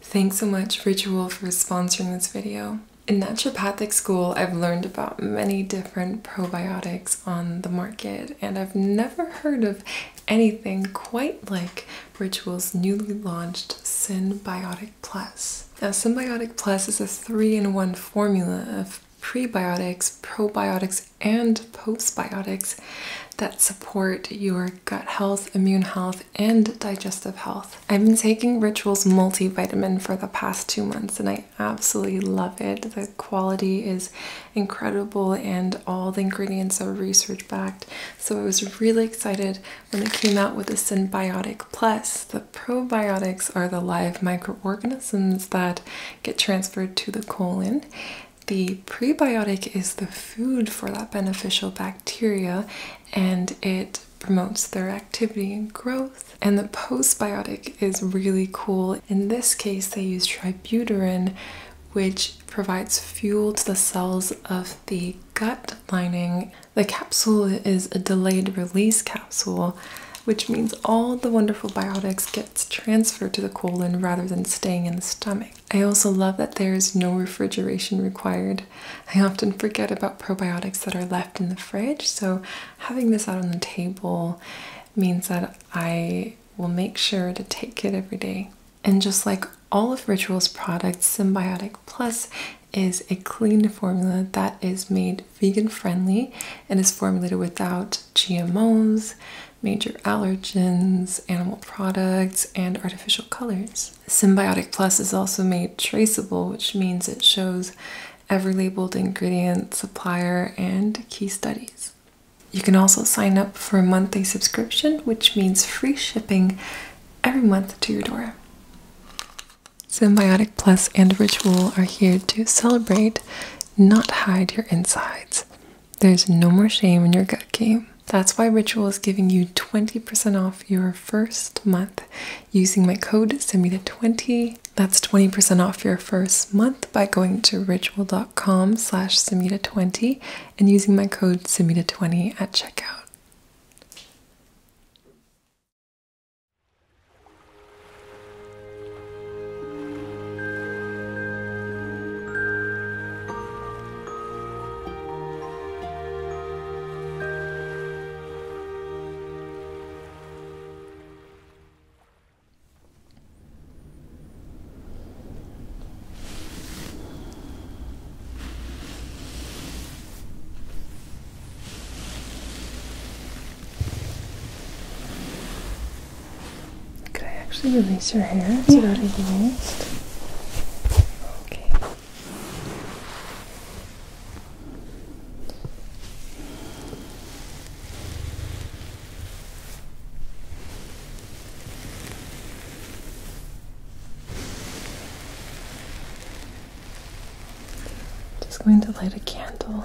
Thanks so much Ritual for sponsoring this video. In naturopathic school, I've learned about many different probiotics on the market, and I've never heard of anything quite like Ritual's newly launched Symbiotic Plus. Now, Symbiotic Plus is a three in one formula of prebiotics, probiotics, and postbiotics that support your gut health, immune health, and digestive health. I've been taking Rituals multivitamin for the past two months and I absolutely love it. The quality is incredible and all the ingredients are research backed. So I was really excited when they came out with the Symbiotic Plus. The probiotics are the live microorganisms that get transferred to the colon. The prebiotic is the food for that beneficial bacteria, and it promotes their activity and growth. And the postbiotic is really cool. In this case, they use tributyrin, which provides fuel to the cells of the gut lining. The capsule is a delayed release capsule, which means all the wonderful biotics gets transferred to the colon rather than staying in the stomach. I also love that there is no refrigeration required. I often forget about probiotics that are left in the fridge, so having this out on the table means that I will make sure to take it every day. And just like all of Ritual's products, Symbiotic Plus is a clean formula that is made vegan friendly and is formulated without GMOs, major allergens, animal products, and artificial colors. Symbiotic Plus is also made traceable, which means it shows every labeled ingredient, supplier, and key studies. You can also sign up for a monthly subscription, which means free shipping every month to your door. Symbiotic Plus and Ritual are here to celebrate, not hide your insides. There's no more shame in your gut game. That's why Ritual is giving you 20% off your first month using my code Samita20. That's 20% off your first month by going to ritual.com slash Samita20 and using my code Samita20 at checkout. Could I actually release your hair so yeah. that I used. Okay. Just going to light a candle.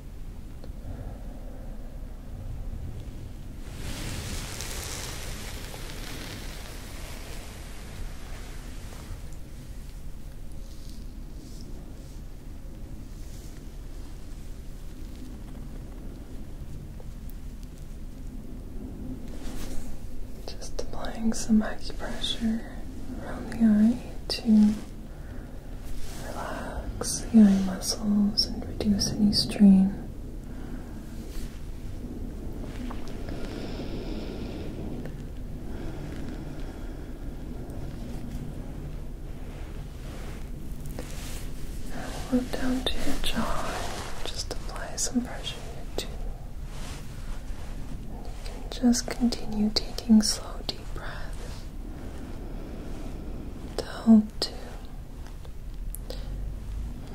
Just applying some acupressure around the eye to relax the eye muscles and reduce any strain. Now we down to your jaw just apply some pressure here too. And you can just continue taking slow deep breaths do.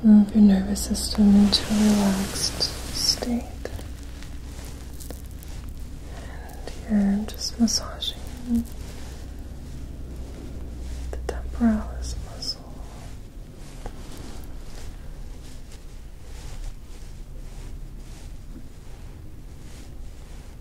Move your nervous system into a relaxed state. And you're just massaging the temporalis muscle.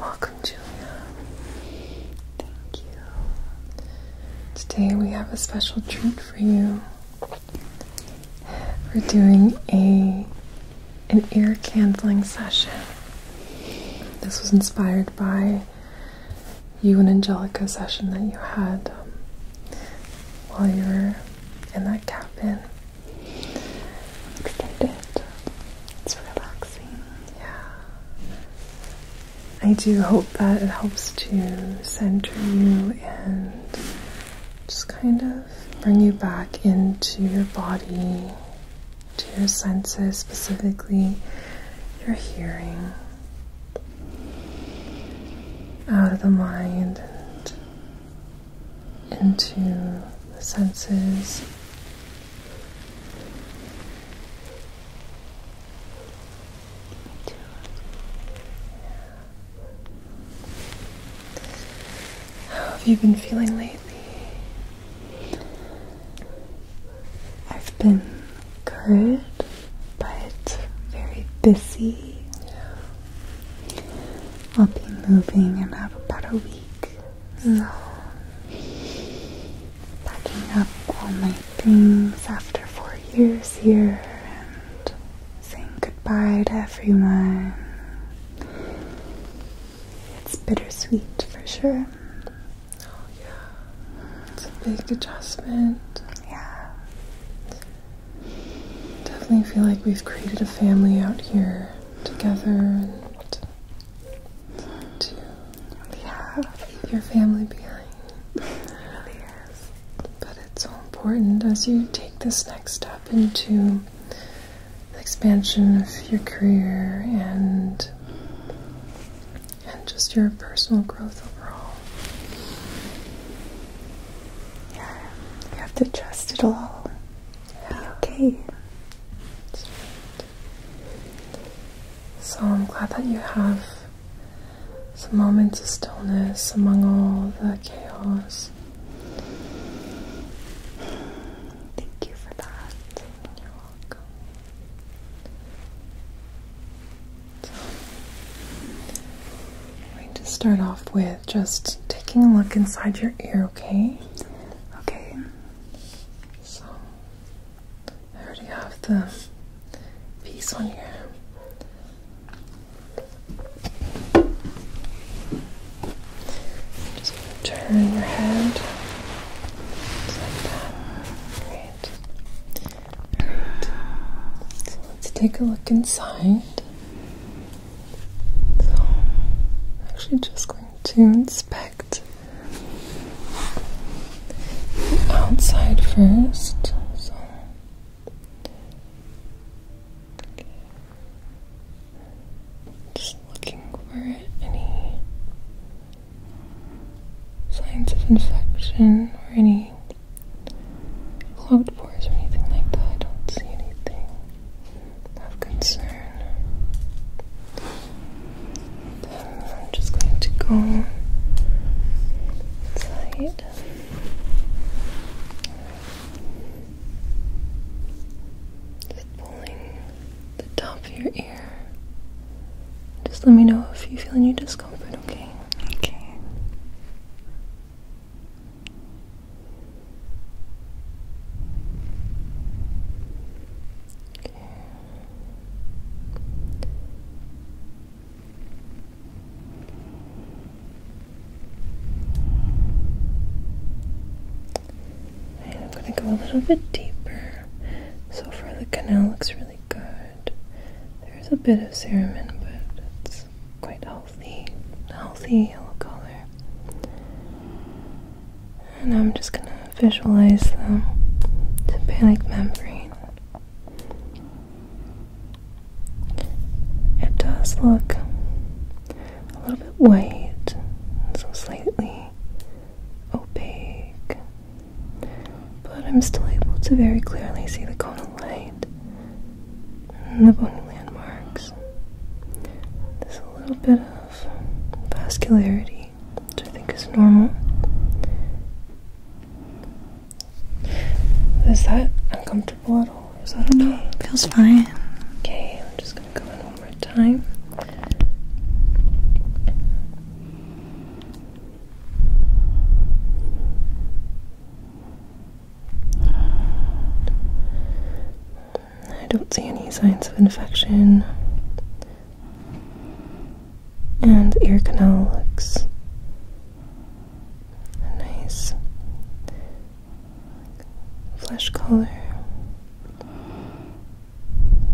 Welcome, Julia. Thank you. Today we have a special treat for you. We're doing a an ear candling session. This was inspired by you and Angelica session that you had um, while you were in that cabin. Extended. It's relaxing. Yeah. I do hope that it helps to center you and just kind of bring you back into your body, to your senses, specifically your hearing out of the mind and into the senses. How have you been feeling lately? I've been good, but very busy. I'll be moving and have about a week. packing up all my things after four years here and saying goodbye to everyone. It's bittersweet for sure. Oh yeah, it's a big adjustment. Yeah. Definitely feel like we've created a family out here together to yeah. leave your family behind. It But it's so important as you take this next step into the expansion of your career and and just your personal growth overall. Yeah, you have to trust it all. Yeah. okay. So I'm glad that you have some moments of stillness among all the chaos. Thank you for that. You're welcome. So, I'm going to start off with just taking a look inside your ear, okay? Okay. So, I already have the piece on here. Just turn your head like that. Great. So let's take a look inside. So I'm actually just going to inspect the outside first. So just looking for any signs of infection or any clogged pores or anything like that. I don't see anything of concern. I'm just going to go inside. Just pulling the top of your ear just let me know if you feel any discomfort, okay? Okay. I'm going to go a little bit deeper. So far, the canal looks really good. There's a bit of cerumen, but it's quite healthy, healthy yellow color. And I'm just gonna visualize them to panic membrane. It does look a little bit white, so slightly opaque, but I'm still able to very clearly see the cone of light and the bony landmarks. There's a little bit of vascularity, which I think is normal. Is that uncomfortable at all? Is that no, okay? Feels fine. Okay, I'm just gonna go in one more time. I don't see any signs of infection. And the ear canal looks a nice flesh color.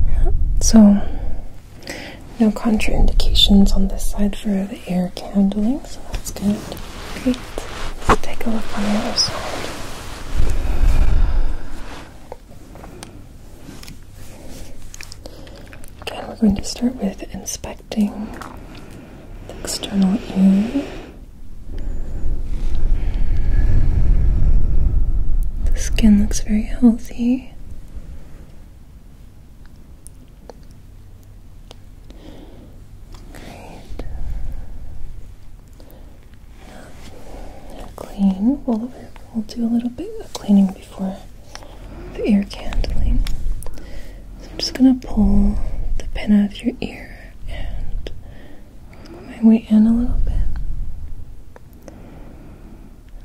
Yeah, so no contraindications on this side for the air candling, so that's good. Great. Let's take a look on the other side. Again, we're going to start with inspecting the external ear. The skin looks very healthy. Great. clean. We'll, we'll do a little bit of cleaning before the ear candling. So I'm just gonna pull the pin out of your ear and work my way in a little bit.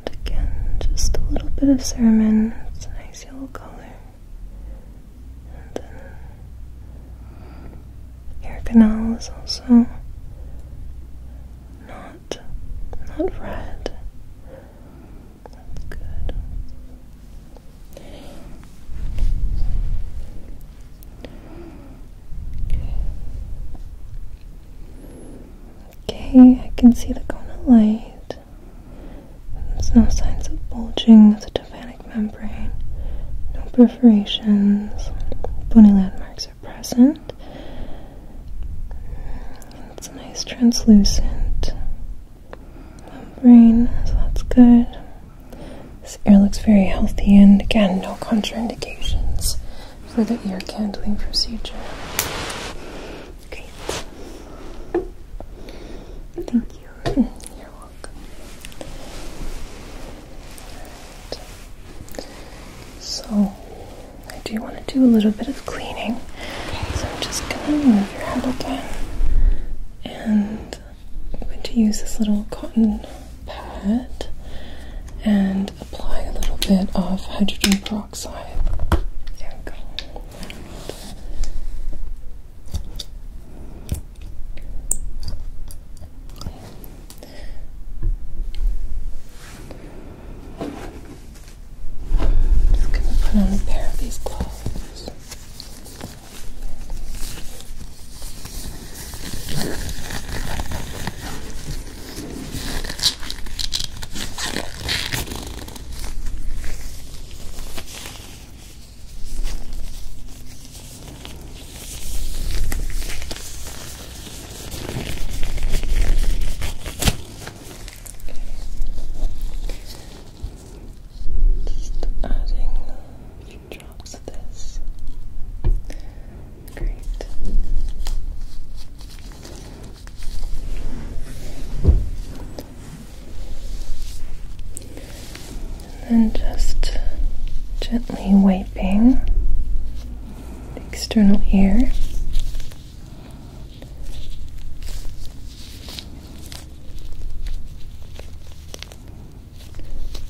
And again, just a little bit of cinnamon. It's a nice yellow color. And your canal is also not not red. That's good. Okay. Okay, I can see the cone of light. There's no signs of bulging of the tympanic membrane, no perforations, bony landmarks are present. it's a nice translucent membrane, so that's good. This ear looks very healthy, and again, no contraindications for the ear candling procedure. Great. Thank you. You're welcome. So, I do want to do a little bit of cleaning. So, I'm just going to move your head again. And I'm going to use this little cotton pad and apply a little bit of hydrogen peroxide side. There we Just gonna put on a pair of these gloves. Just adding a few drops of this. Great. And then just gently wiping the external ear.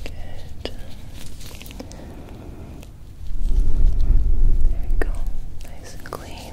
Good. There we go, nice and clean.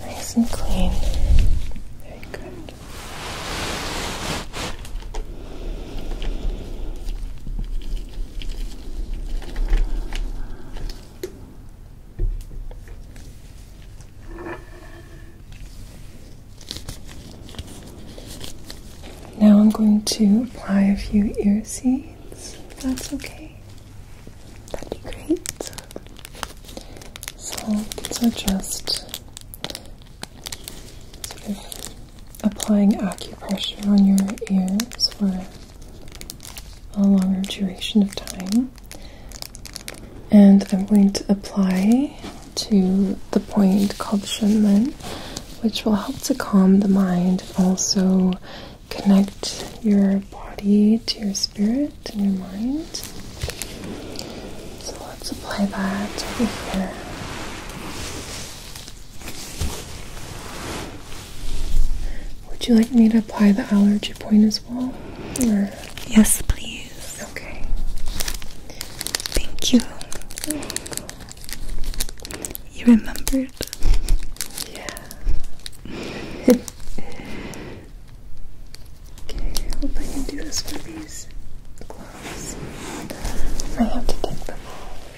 Nice and clean. Very good. Now I'm going to apply a few ear seeds, that's okay. That'd be great. So these just sort of applying acupressure on your ears for a longer duration of time. And I'm going to apply to the point called Shenmen, which will help to calm the mind, also connect your body to your spirit and your mind. So let's apply that over here. Would you like me to apply the allergy point as well? Or? Yes, please. Okay. Thank you. You remember yeah. Okay, I hope I can do this for these gloves. I have to take them off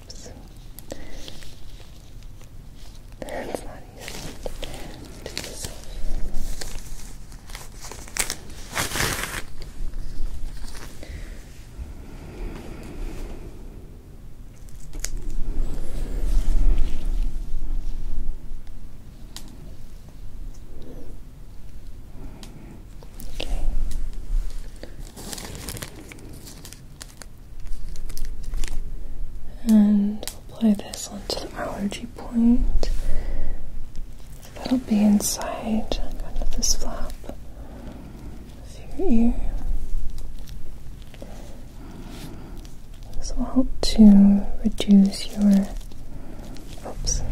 crisps. That's not easy. Do yourself. Okay. And apply this onto the allergy point. That'll be inside kind of this flap of your ear. This will help to reduce your oops.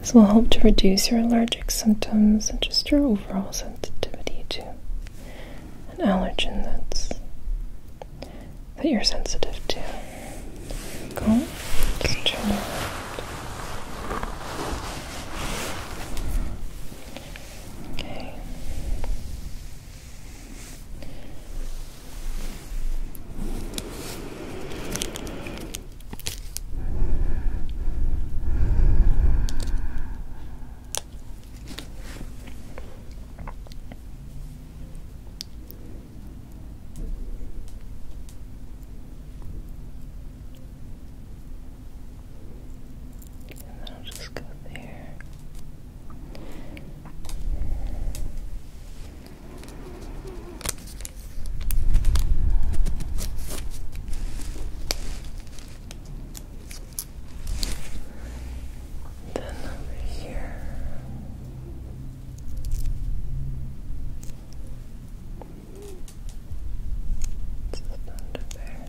This will help to reduce your allergic symptoms and just your overall sensitivity to an allergen that's that you're sensitive to. Go, and then I'll just go there. Then over here. It's the thunder bear.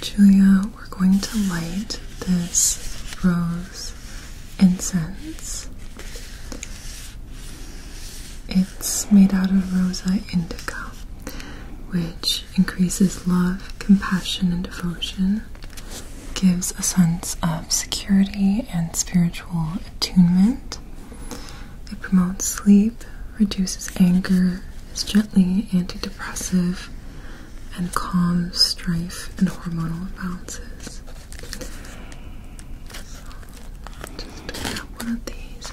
Julia, we're going to light this rose incense. It's made out of Rosa indigo, which increases love, compassion, and devotion, gives a sense of security and spiritual attunement. It promotes sleep, reduces anger, is gently antidepressive, and calms strife and hormonal imbalances. just one of these.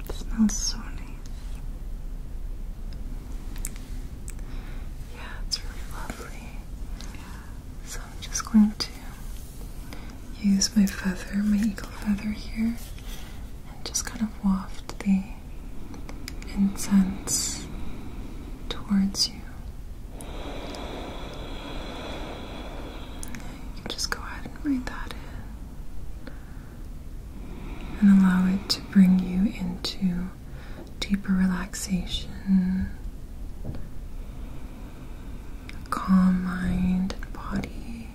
It smells so nice. Yeah, it's really lovely. So I'm just going to use my feather, my eagle feather here, and just kind of waft the incense towards you just go ahead and breathe that in and allow it to bring you into deeper relaxation, calm mind and body,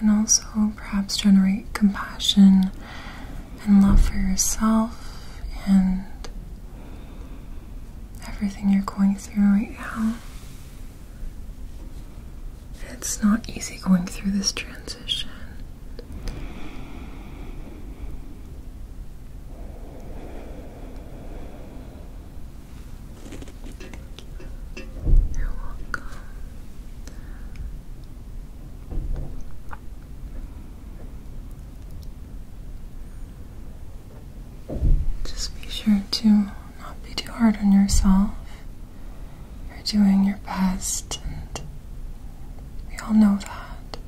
and also perhaps generate compassion and love for yourself and everything you're going through right now. It's not easy going through this transition. You're welcome. Just be sure to not be too hard on yourself. You're doing your best, and we all know that.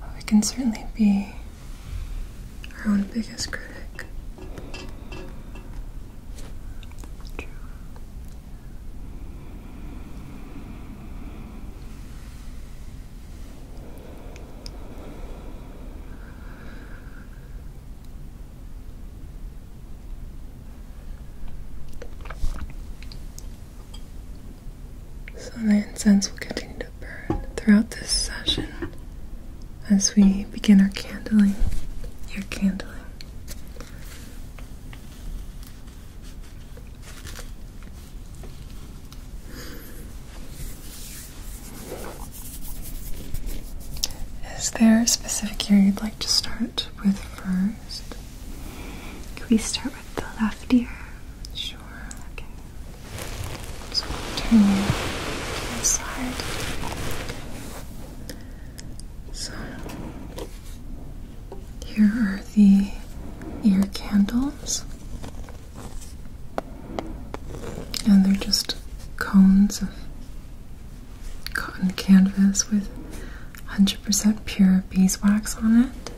But we can certainly be our own biggest critic. true. So the incense will continue to burn throughout this session as we begin our candling, your candling. Is there a specific ear you'd like to start with first? Can we start with the left ear? Sure. Okay. So turn you to the So here are the ear candles, and they're just cones of cotton canvas with 100% pure beeswax on it.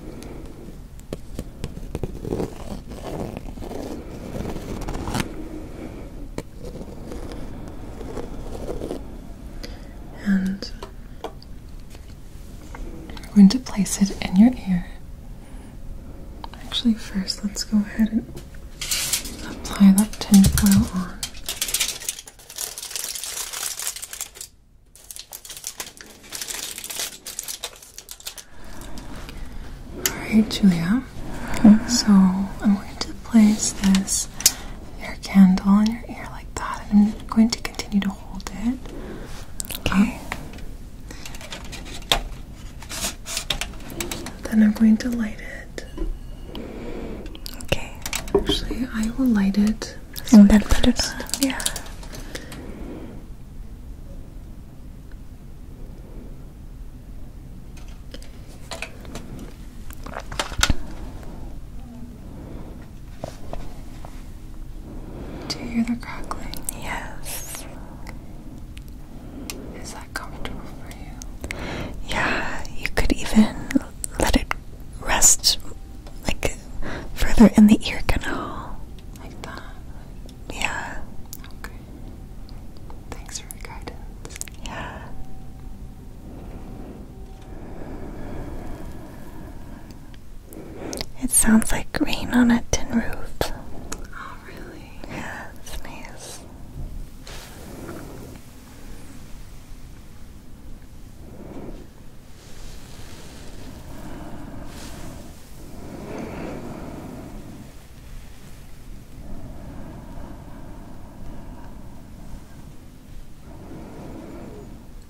And we're going to place it in your ear. Actually, first, let's go ahead and apply that tinfoil on. Alright, Julia. So I'm going to place this ear candle in your ear like that, and I'm going to continue to hold it. Okay. then I'm going to light it. Okay. Actually, I will light it. and then put it Yeah. Do you hear the crackling? Yes. Is that comfortable for you? Yeah, you could even let it rest like further in the ear canal. Like that? Yeah. Okay. Thanks for the guidance. Yeah. It sounds like rain on a tin roof. Oh, really? Yeah, it's nice.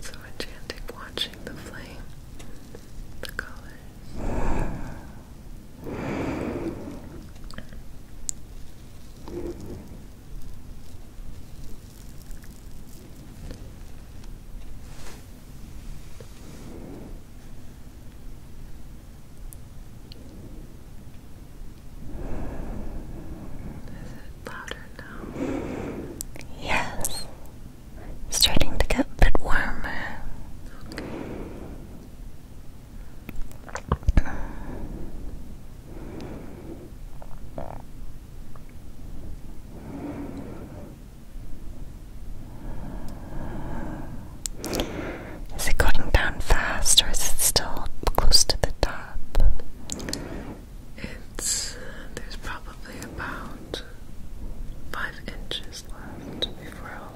So enchanting watching the flame, the colors. Is it louder now? Yes. Starting to get a bit warmer. Is it going down fast or is it still close to the top? It's there's probably about five inches left before I'll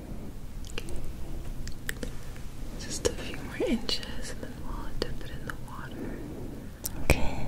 Just a few more inches and then we'll dip it in the water. Okay.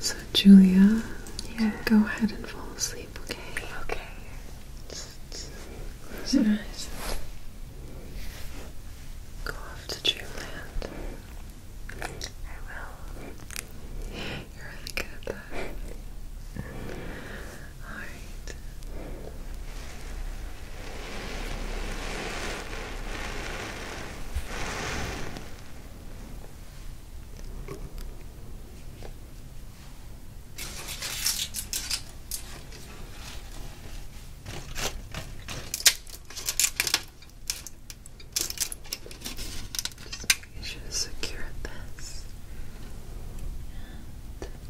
So, Julia, yeah. go ahead and fall asleep, okay? Okay. Close Go off to dreamland. I will. You're really good at that. Alright. Just making sure to secure this.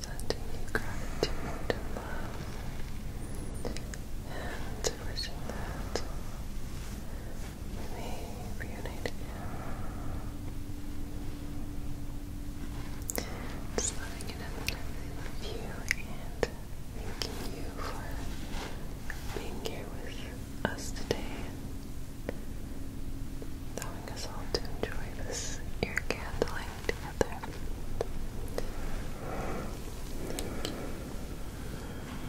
Sending gratitude and wishing that we reunite again. Just you and thanking you for being here with us today allowing us all to enjoy this ear candling together.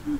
Thank you.